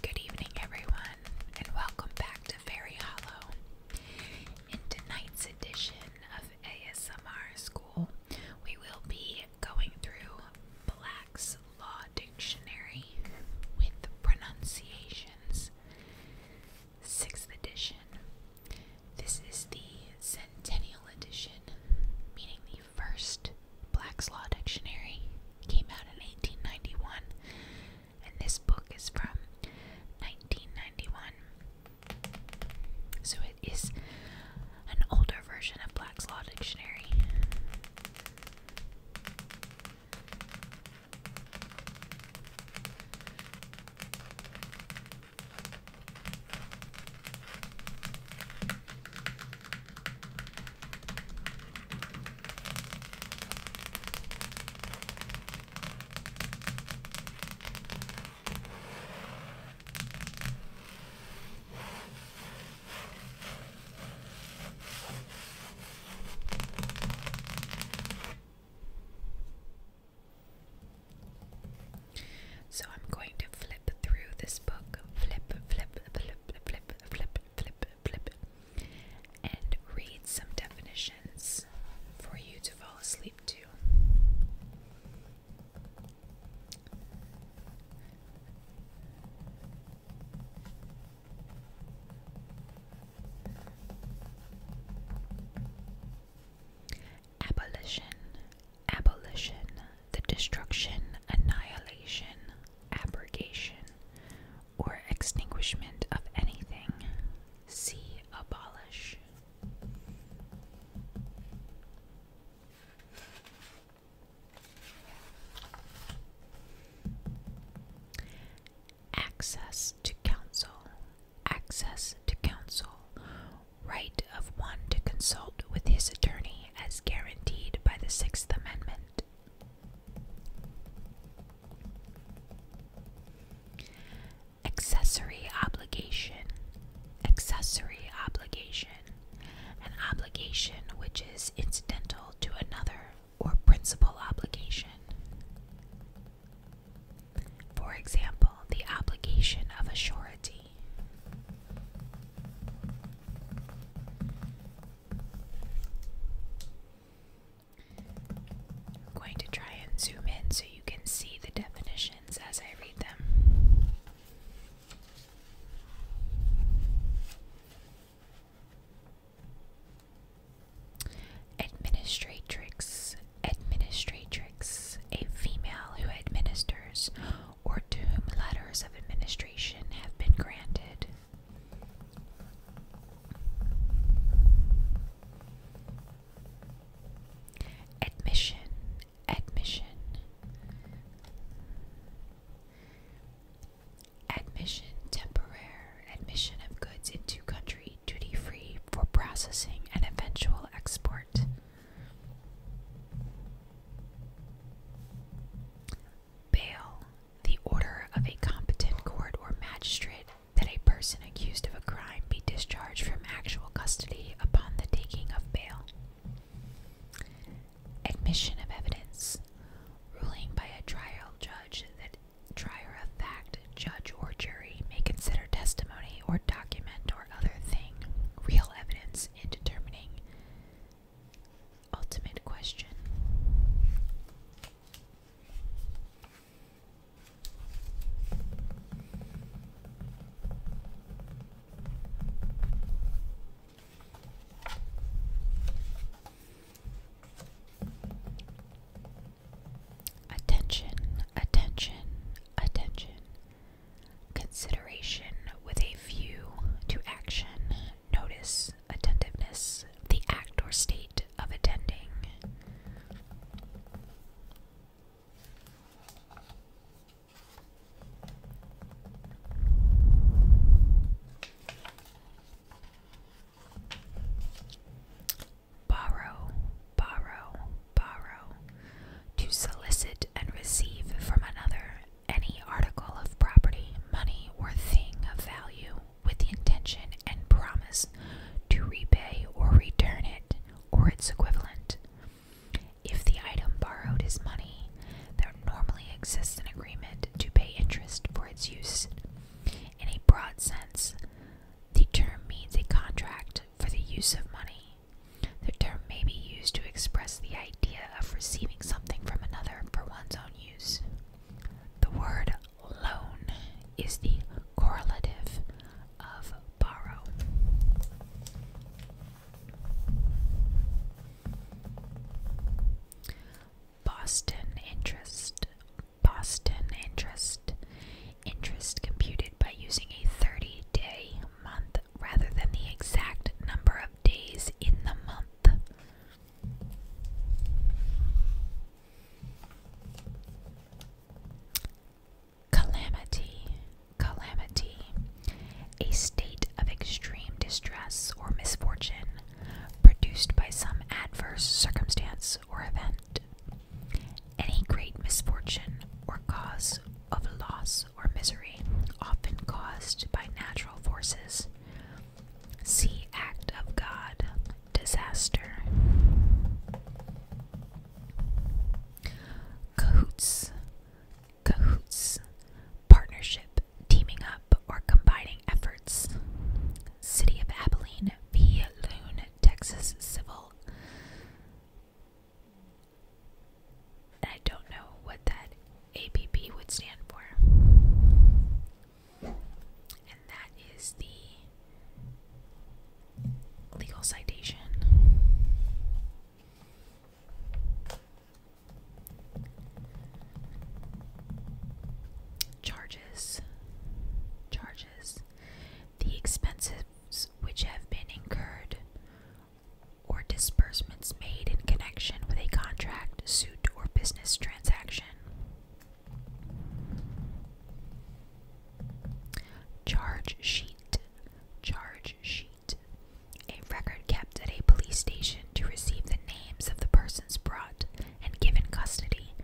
Good evening, everyone, and welcome back to Fairy Hollow. In tonight's edition of ASMR School, we will be going through Black's Law Dictionary with pronunciations, 6th edition. This is the Centennial Edition, meaning the first Black's Law Dictionary came out in 1891, and this book is from 1991. So it is an older version of Black's Law Dictionary. So I'm going to flip through this book. Flip, flip, flip, flip, flip, flip flip, flip, and read some definitions for you to fall asleep to. Abolition, abolition, the destruction, annihilation, abrogation, or extinguishment of anything. See abolish. Access to counsel. Access to counsel. Right of one to consult with his attorney as guaranteed by the Sixth Amendment. Accessory obligation. Accessory obligation. An obligation which is incidental to another or principal obligation. For example, the obligation of a surety. I'm going to try and zoom in so you can see the definitions as I read them. Administratrix, administratrix, a female who administers or to whom letters of administration have been granted. Admission, admission. Admission temporary, admission of goods into country duty free for processing and eventual export bail the order of a competent court or magistrate that a person accused of a crime be discharged from actual custody upon the taking of bail. Admission of evidence. Ruling by a trial judge that trier of fact, judge, or jury may consider testimony or document or other thing, real evidence in determining Ultimate question. Attention, attention, attention. Consideration with a view to action notice, attentiveness, the act or state of attending. Borrow, borrow, borrow. To solicit and receive from another any article of property, money, or thing of value with the intention and promise to repay or return it or its equivalent. If the item borrowed is money, there normally exists an agreement to pay interest for its use. In a broad sense, the term means a contract for the use of money. The term may be used to express the idea idea of receiving something from another for one's own use. The word loan is the correlative of borrow. Boston interest. Boston interest. Interest computed by using a 30 day month rather than the exact number of days in the month. Calamity. Calamity. A state of extreme distress or misfortune produced by some adverse circumstance or event. Any great misfortune or cause of loss or misery, often caused by natural forces. See Act of God, disaster. Cahoots. Cahoots. Partnership, teaming up, or combining efforts. City of Abilene v. Loon, Texas Civil. And I don't know what that APP would stand for. And that is the legal citation. Charges. Charges. The expenses which have been incurred or disbursements made in connection with a contract, suit, or business transaction. Charge sheet. Charge sheet. A record kept at a police station to receive the names of the persons brought and given custody,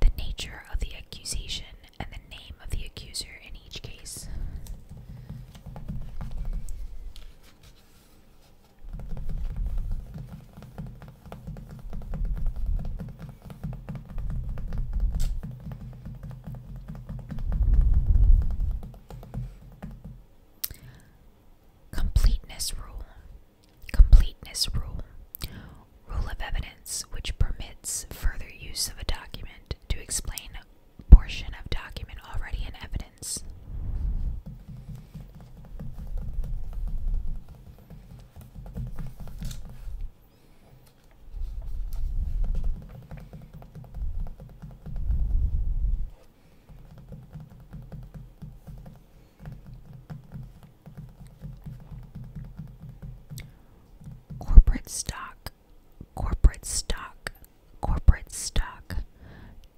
the nature of the accusation, and the name of the accuser in each case. Completeness rule. Completeness rule. Rule of evidence which permits further use of a document to explain portion of document already in evidence. Corporate stock, corporate stock, corporate stock.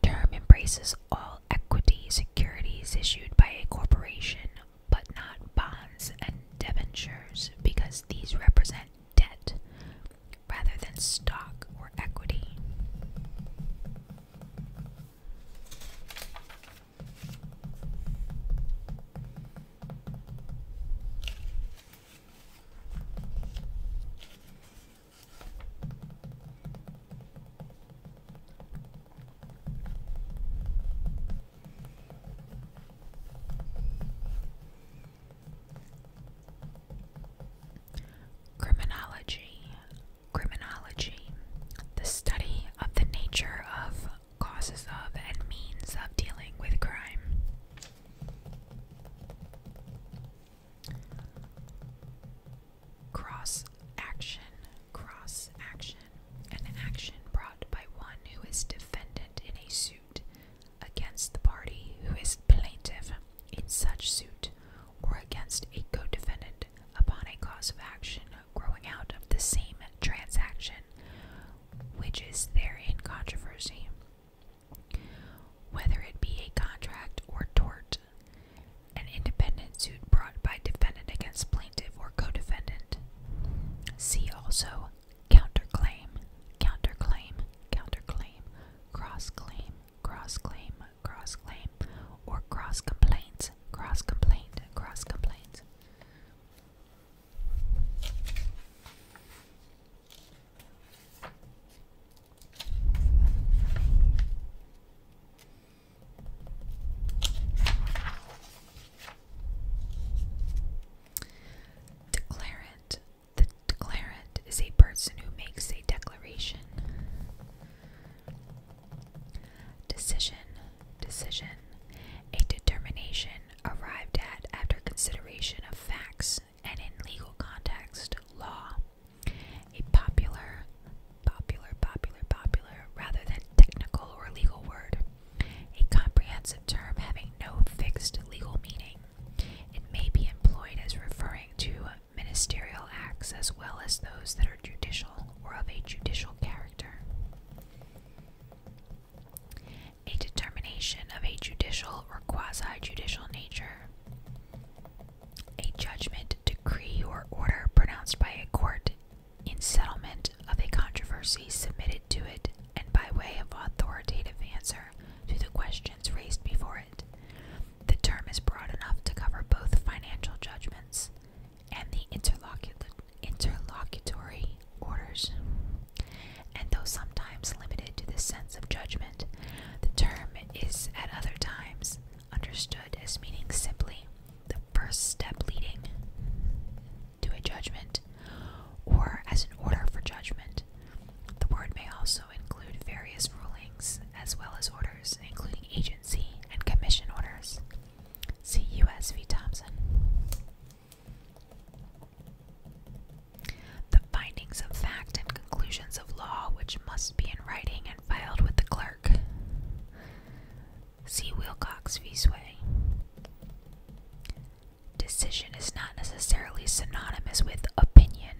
Term embraces all equity securities issued by a corporation, but not bonds and debentures because these represent debt rather than stock or equity. Criminology. Criminology. The study of the nature of, causes of, and means of dealing with crime. Cross action, cross action. An action brought by one who is defendant in a suit against the party who is plaintiff in such suit or against a co defendant upon a cause of action growing out of the same transaction which is therein controversy. Whether it be a contract or tort, an independent suit brought by defendant against plaintiff or co-defendant. See also counterclaim, counterclaim, counterclaim, cross-claim, cross-claim, cross-claim, or cross-complaints, cross complaints, cross complaints. Declarant. The declarant is a person who makes a declaration. Decision. Decision. A determination arrived at after consideration of facts, and in legal context, law. A popular, popular, popular, popular, rather than technical or legal word. A comprehensive term having no fixed legal meaning. It may be employed as referring to ministerial acts as well as those that are judicial or of a judicial character. A determination of a judicial or quasi judicial nature a judgment, decree, or order pronounced by a court in settlement of a controversy submitted to it and by way of authoritative answer to the questions raised before it. The term is broad enough to cover both financial judgments and the interlocutory orders, and though sometimes limited to the sense of judgment the term is at other times understood as meaning simply the first step leading to a judgment or as an order for judgment. The word may also include various rulings as well as orders, including agency and commission orders. See U.S. v. Thompson. The findings of fact and conclusions of law, which must be in writing and filed with the clerk. See Wilcox v. Sway. Decision is not necessarily synonymous with opinion.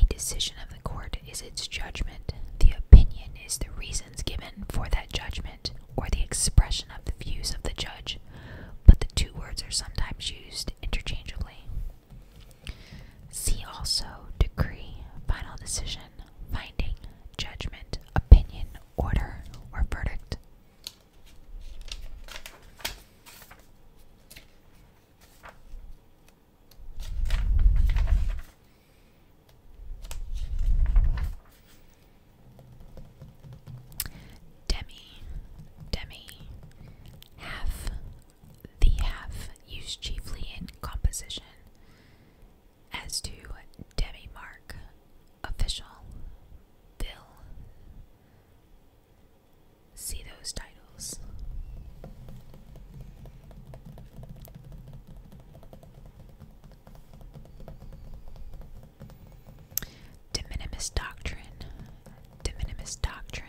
A decision of the court is its judgment. The opinion is the reasons given for that judgment or the expression of the views of the judge, but the two words are sometimes used interchangeably. See also decree, final decision, finding, judgment, opinion, order, or verdict. Demi, demi, half, the half used chiefly in composition. As to demi-mark, official, bill, see those titles. De minimis doctrine, de minimis doctrine,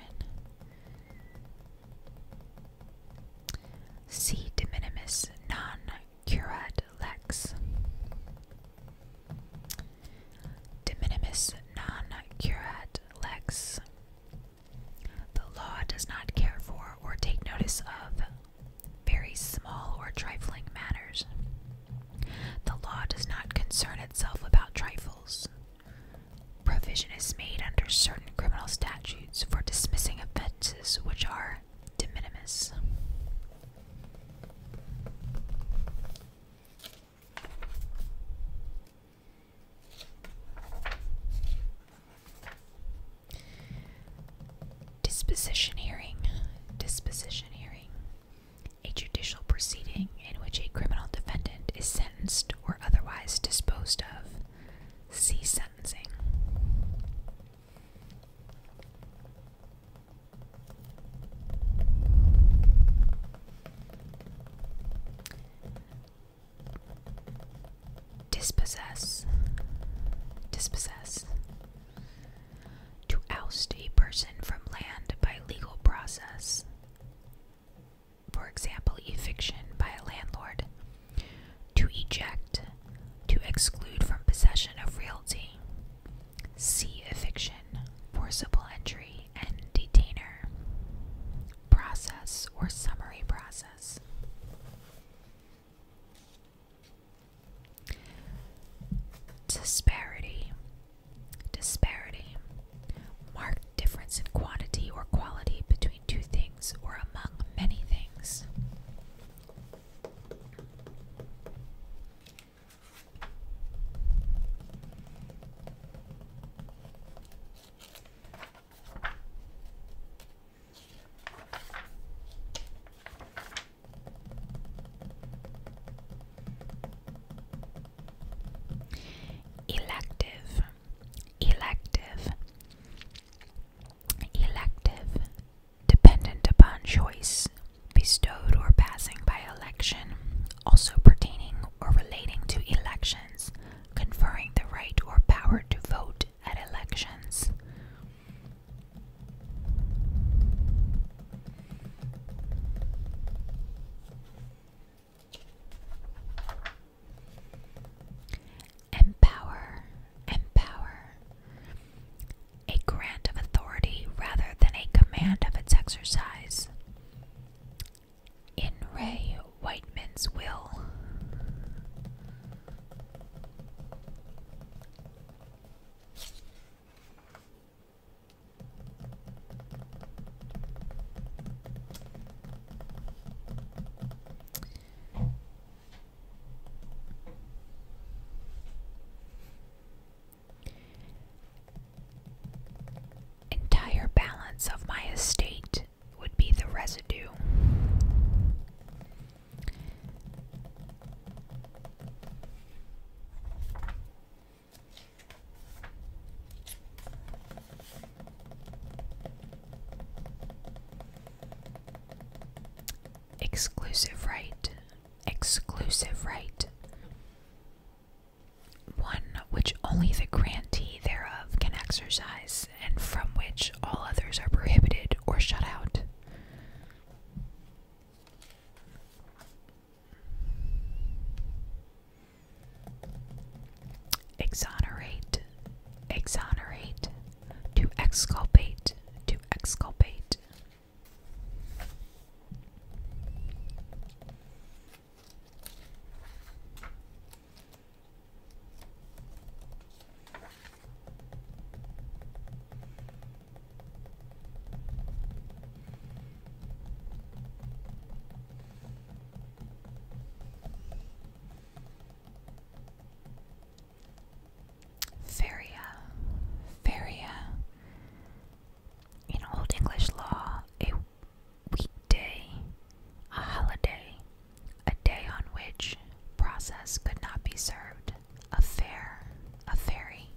C. de minimis non curat lex. De minimis non curat lex. The law does not care for or take notice of very small or trifling matters. The law does not concern itself about trifles. Provision is made under certain criminal statutes for dismissing offenses which are de minimis. Disposition hearing. Disposition hearing. A judicial proceeding in which a criminal defendant is sent or otherwise disposed of. See sentencing. Dispossess. Dispossess. To oust a person from land by legal process for example, eviction by a landlord, to eject, to exclude from possession of realty. See eviction, forcible entry, and detainer. Process or summary process. Disparity Disparity. Marked difference in quantity or quality between two things or among many things. Elective Elective. Elective. Dependent upon choice, bestowed or passing by election, also pertaining or relating to elections, conferring the right or power to vote at elections. Empower, empower. A grant of authority rather than a command of its exercise. In Ray Whiteman's will. Entire balance of my estate would be the residue. Exclusive right, exclusive right. One which only the grantee thereof can exercise, and from which all others are prohibited or shut out. Exonerate, exonerate, to exculpate, to exculpate. Feria. Feria. In Old English law, a weekday, a holiday, a day on which process could not be served, a fair, a ferry.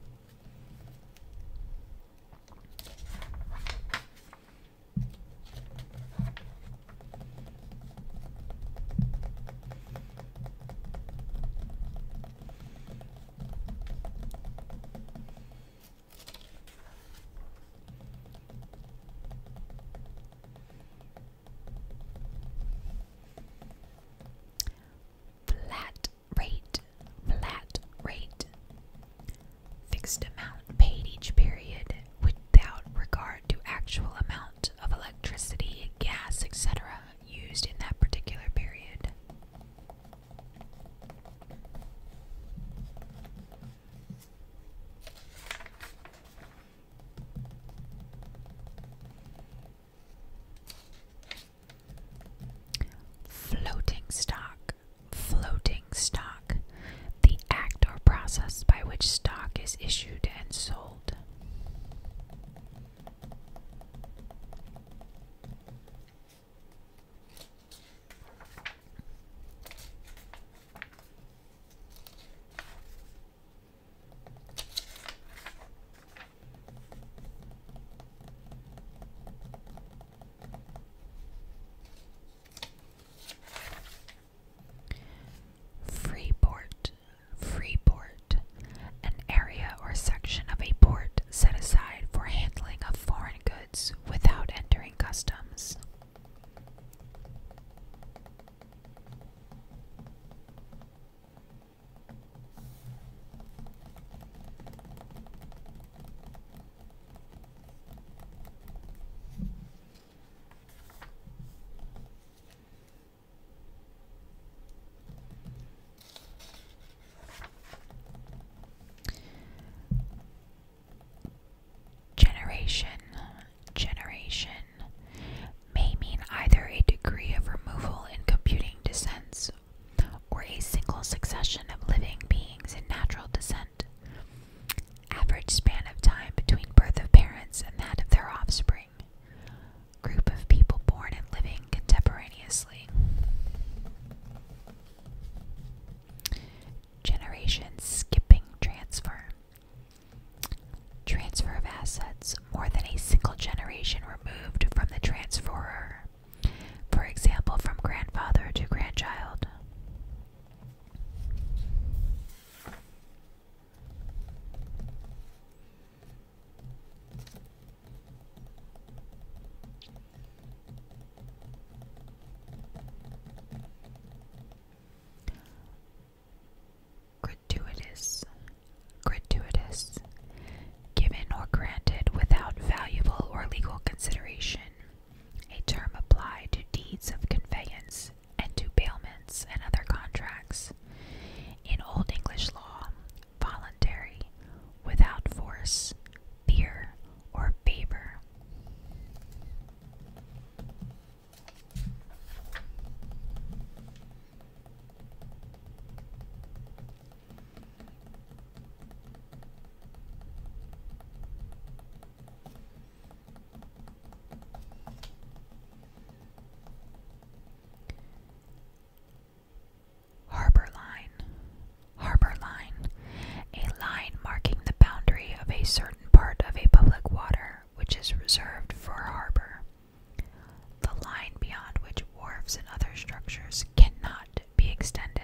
Flat rate, flat rate, fixed amount paid each period without regard to actual amount of electricity, gas, etc. used in that particular period. Floating stock Floating stock, the act or process by which stock is issued and sold. Freeport. Freeport. An area or section of a port set aside for handling of foreign goods without entering customs. Generation, generation may mean either a degree of removal in computing descent, or a single succession of living beings in natural descent. Average span of time between birth of parents and that of their offspring. Group of people born and living contemporaneously. Generation skipping transfer. Transfer of assets more than a single generation removed from the transferor for example, from grandfather to grandchild. Gratuitous. Gratuitous. Given or granted without valuable or legal consideration a term applied to deeds of conveyance and to bailments and other contracts. In Old English law, voluntary, without force, fear, or favor. Harbor Line. Harbor Line. A line marking the boundary of a certain part of a public water which is reserved for harbor. The line beyond which wharves and other structures cannot be extended.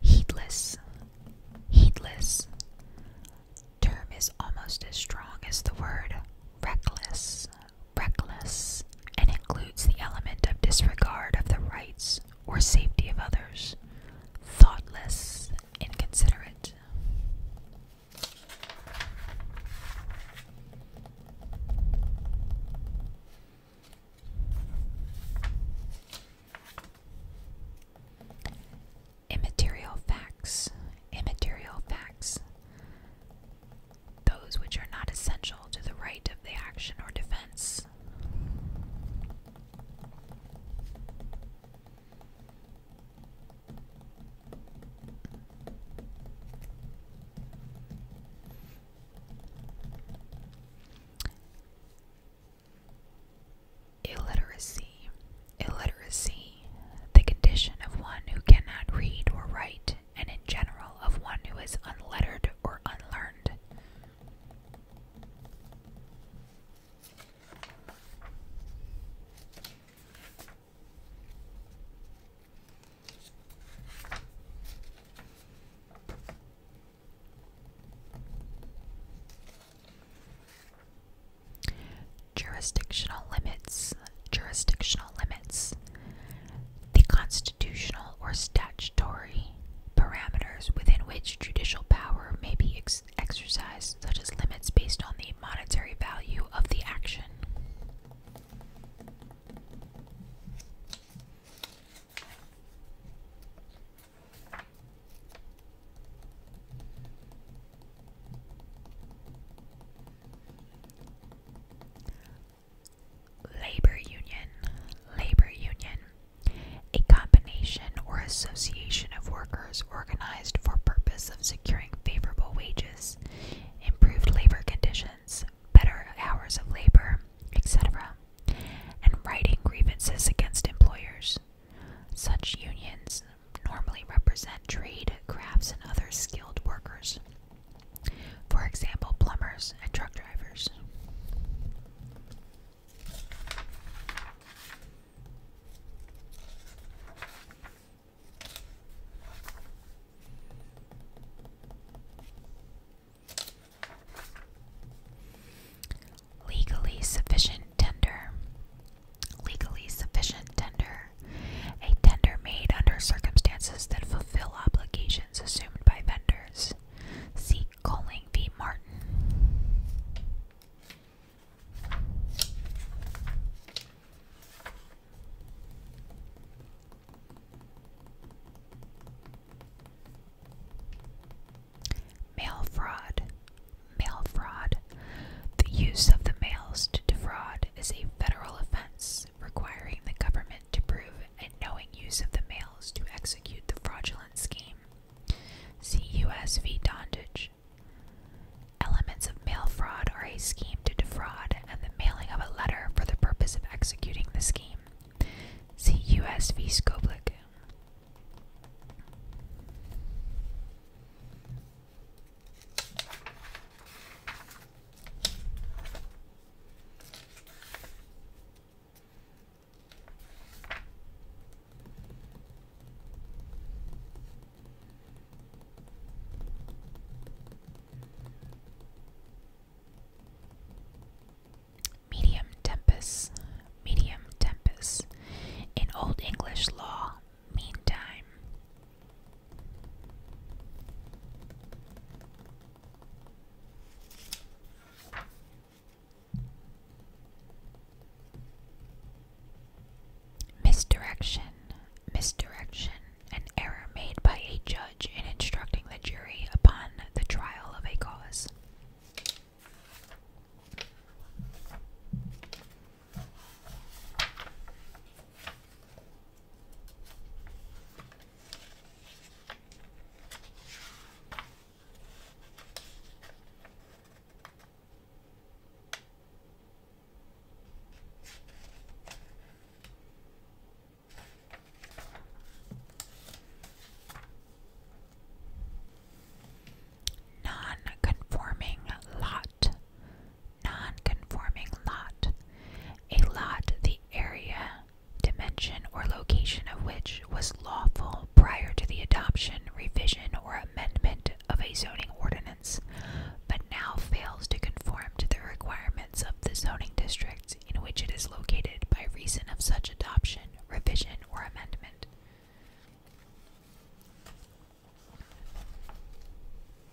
Heedless. Heedless. Term is almost as strong as the word reckless reckless, and includes the element of disregard of the rights or safety of others, thoughtless, inconsiderate. Immaterial facts. Immaterial facts those which are not essential to the right of the action or defense. Illiteracy. Illiteracy, the condition of one who cannot read or write, and in general of one who is unlettered or unlearned. Jurisdictional limits jurisdictional limits. The constitutional or statutory parameters within which judicial power may be exercised, such as limits based on the monetary value of the action. Labor union. Labor union. A combination or association of workers organized for purpose of securing favorable wages, improved labor conditions, better hours of labor, etc., and writing grievances against employers. Such unions normally represent trade, crafts, and other skilled workers. For example, plumbers and truck drivers. Legally sufficient tender. Legally sufficient tender a tender made under circumstances that fulfill obligations assumed by vendors. See calling v. Martin. Mail fraud. Mail fraud. The use of the mails to defraud is a federal offense requiring the government to prove and knowing use of the mails to execute the fraudulent scheme. See U.S. v. Dondage. Elements of mail fraud are a scheme to defraud and the mailing of a letter for the purpose of executing the scheme. See U.S. v. Skoblik. Medium tempus, medium tempus. In Old English law, mean Misdirection, misdirection, an error made by a judge in instructing the jury upon the trial of a cause. Non conforming lot non lot. A lot the area, dimension, or location of which was lawful prior to the adoption, revision, or amendment of a zoning ordinance, but now fails to conform to the requirements of the zoning districts in which it is located by reason of such adoption, revision, or amendment.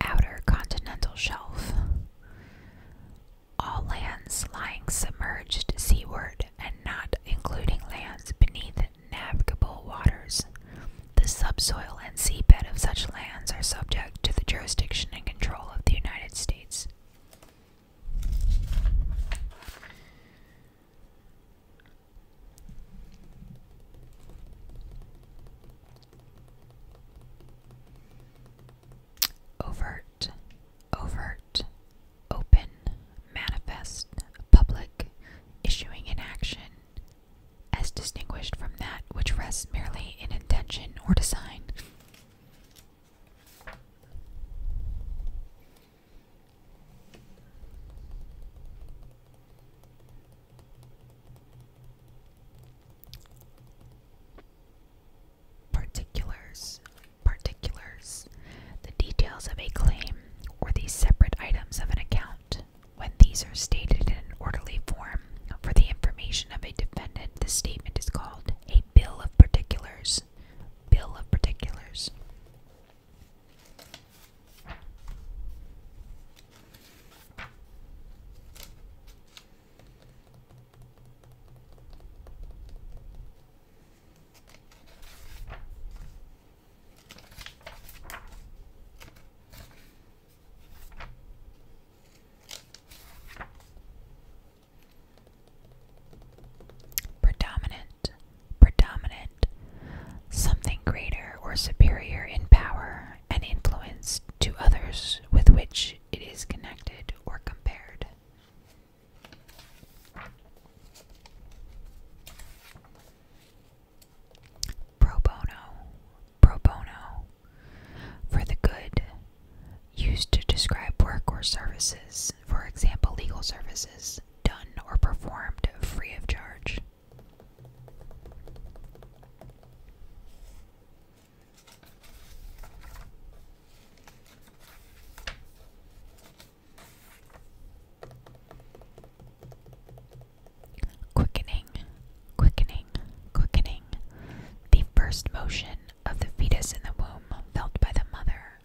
Outer continental shelf. All lands lying submerged seaward and not including lands beneath navigable waters. The subsoil and seabed of such lands are subject to the jurisdiction and control of the United States. Overt, overt, open, manifest, public, issuing in action, as distinguished from that which rests merely in intention or design. Particulars. Particulars. The details of a claim or the separate items of an account. When these are stated in an orderly form for the information of a defendant, the statement is called a bill of particulars. Bill of particulars. Predominant, predominant, something greater or superior in power and influence to others with which it is connected or compared. Pro bono, pro bono, for the good, used to describe work or services, for example, legal services, done or performed free of charge. Quickening, quickening, quickening. The first motion of the fetus in the womb felt by the mother,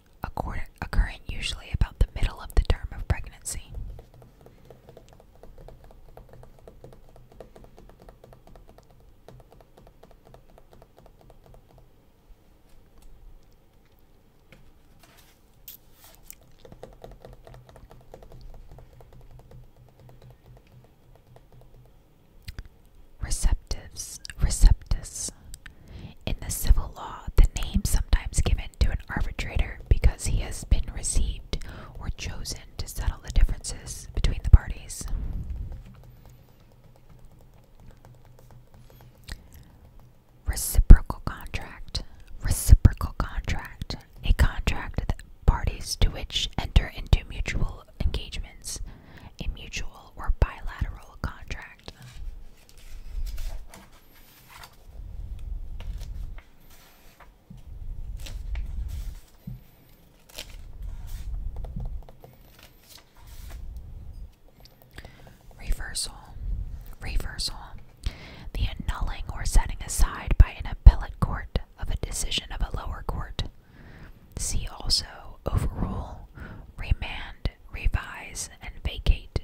occurring usually about the middle of the term of pregnancy. Receptives, receptus. In the civil law, the name sometimes given to an arbitrator because he has been received or chosen to settle the differences between the parties. Reciprocal contract. Reciprocal contract. A contract that parties to which enter into mutual engagements, a mutual or bilateral contract. Reversal. Reversal. The annulling or setting aside by an appellate court of a decision of a lower court. See also overrule, remand, revise, and vacate.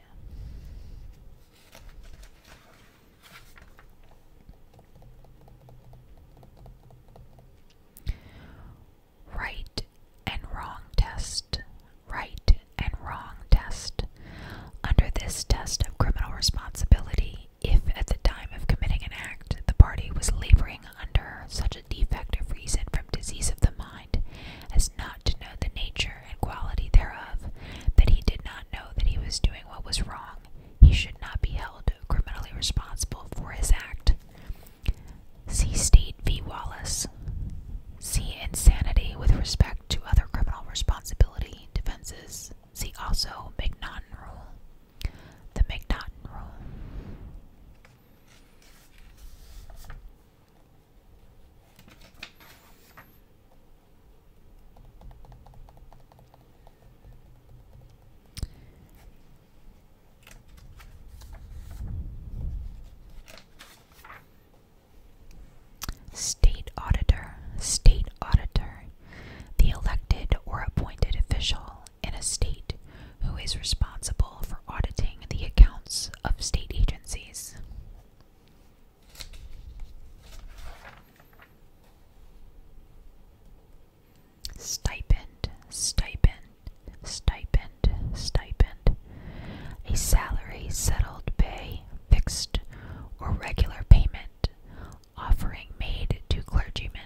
Right and wrong test. Right and wrong test. Under this test of criminal responsibility, if at the time of committing an act the party was laboring under such defect of reason from disease of the mind as not to know the nature and quality thereof, that he did not know that he was doing what was wrong, he should not be held criminally responsible for his act. See State v. Wallace. See insanity with respect to other criminal responsibility defenses. See also McNaughton Rule. The McNaughton Rule. State Auditor, State Auditor, the elected or appointed official in a state who is responsible for auditing the accounts of state agencies. Stipend, stipend, stipend, stipend. A salary, settled pay, fixed or regular payment, offering made to clergymen.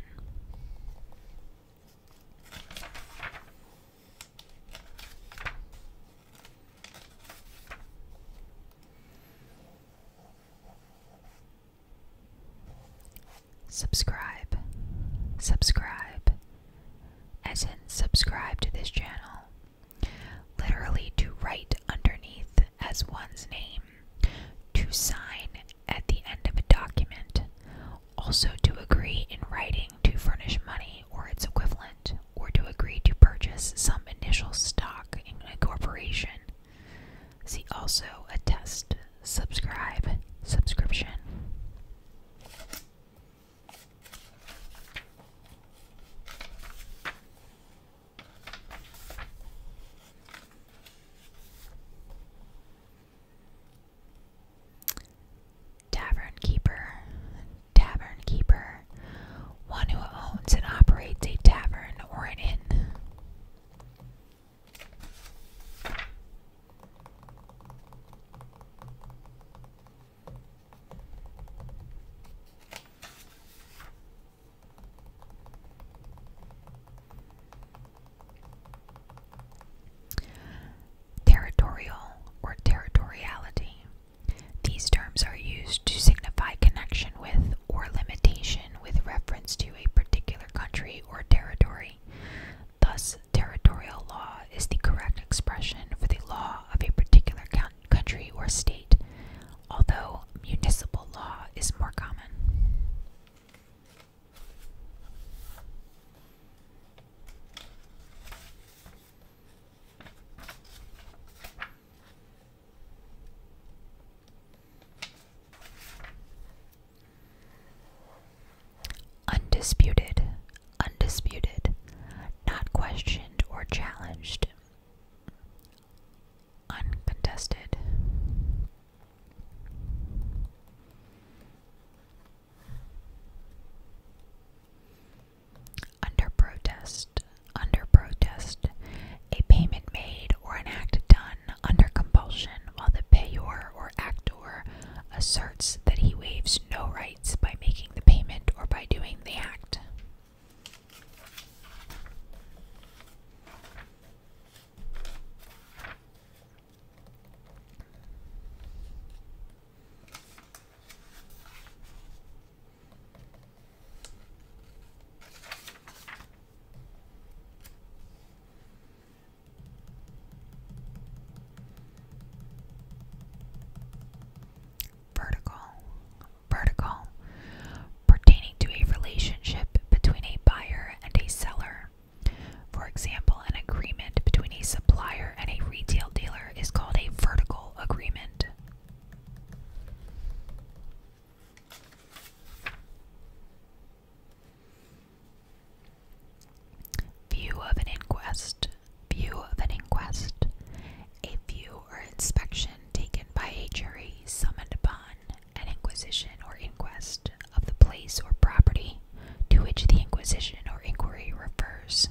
Subscribe, subscribe, as in subscribe to this channel. Literally to write underneath as one's name, to sign at the end of a document, also to agree in writing to furnish money or its equivalent, or to agree to purchase some initial stock in a corporation. See also attest, subscribe, subscription. Tavern keeper. Tavern keeper. One who owns and operates a tavern or an inn. Territorial or territoriality. These terms are used to signify connection with or limitation with reference to a particular country or territory. Thus, territorial law is the correct expression for the law of a particular country or state, although municipal law is more common. Undisputed, undisputed, not questioned or challenged, uncontested. Under protest, under protest, a payment made or an act done under compulsion while the payor or actor asserts that he waives no rights by making the payment or by doing the act. Vertical, vertical, pertaining to a relationship between a buyer and a seller. For example, an agreement between a supplier and a retail dealer is called a vertical agreement. View of an inquest. View of an inquest. A view or inspection taken by a jury summoned upon an inquisition or inquest of the place or property to which the inquisition or inquiry refers.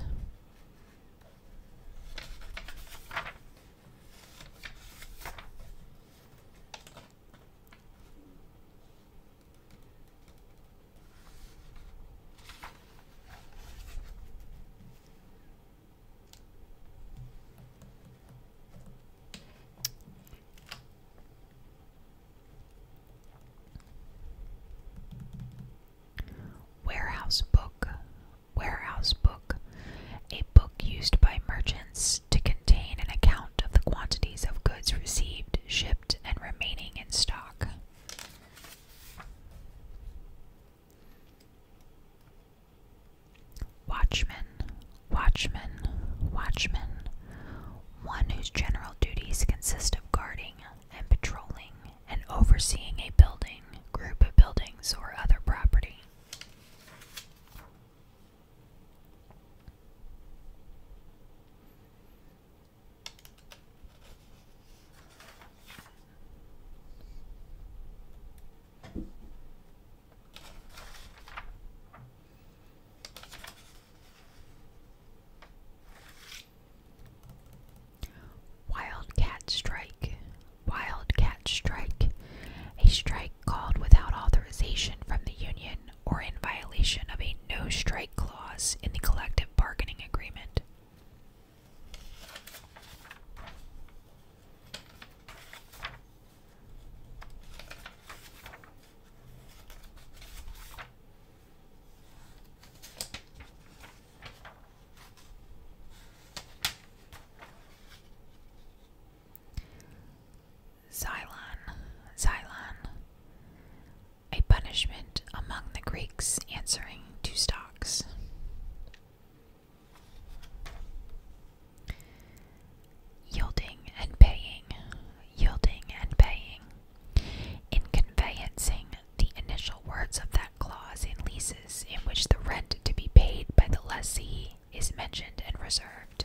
Warehouse book. Warehouse book. A book used by merchants to contain an account of the quantities of goods received, shipped, and remaining in stock. Watchman. Watchman, watchman, one whose general duties consist of guarding and patrolling and overseeing a building, group of buildings, or other property. Wildcat strike. Wildcat strike. A strike called without authorization from the union or in violation of a no strike clause in the collective bargaining agreement. Xylon, Xylon, a punishment among the Greeks answering to stocks. Yielding and paying, yielding and paying. In conveyancing, the initial words of that clause in leases in which the rent to be paid by the lessee is mentioned and reserved.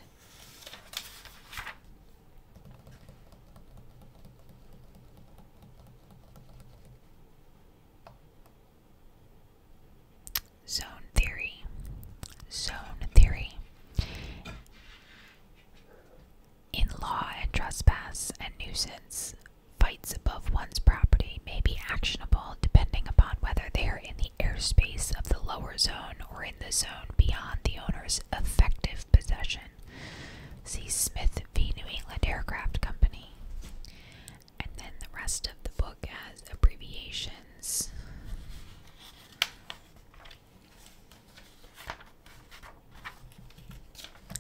Zone theory. Zone theory. In law and trespass and nuisance, fights above one's property may be actionable depending upon whether they are in the airspace of the lower zone or in the zone beyond the owner's effective possession. See Smith v. New England Aircraft Company. And then the rest of the book has abbreviations.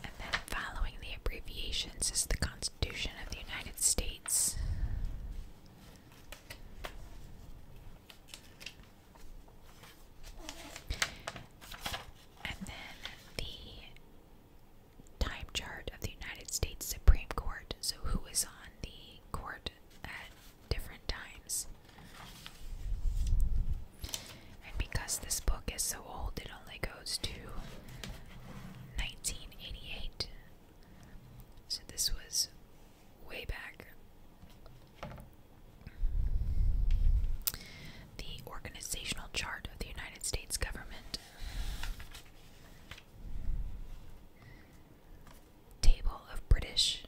And then following the abbreviations is the Constitution of the United States. And then the time chart of the United States Supreme Court. So, who is on the court different times. And because this book is so old, it only goes to 1988. So this was way back. The organizational chart of the United States government. Table of British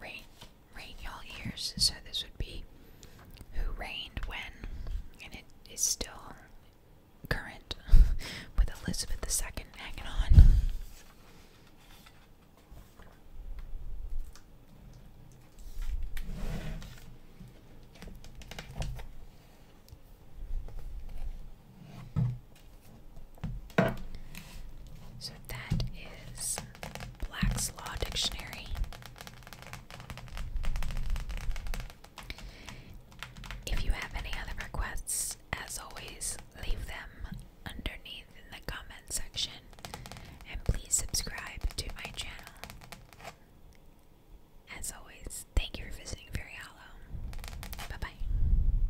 Rain, all ears. So this would be who reigned when, and it is still current with Elizabeth II hanging on. So that is Black's Law Dictionary. If you have any other requests, as always, leave them underneath in the comment section and please subscribe to my channel. As always, thank you for visiting Fairy Hollow. Bye bye.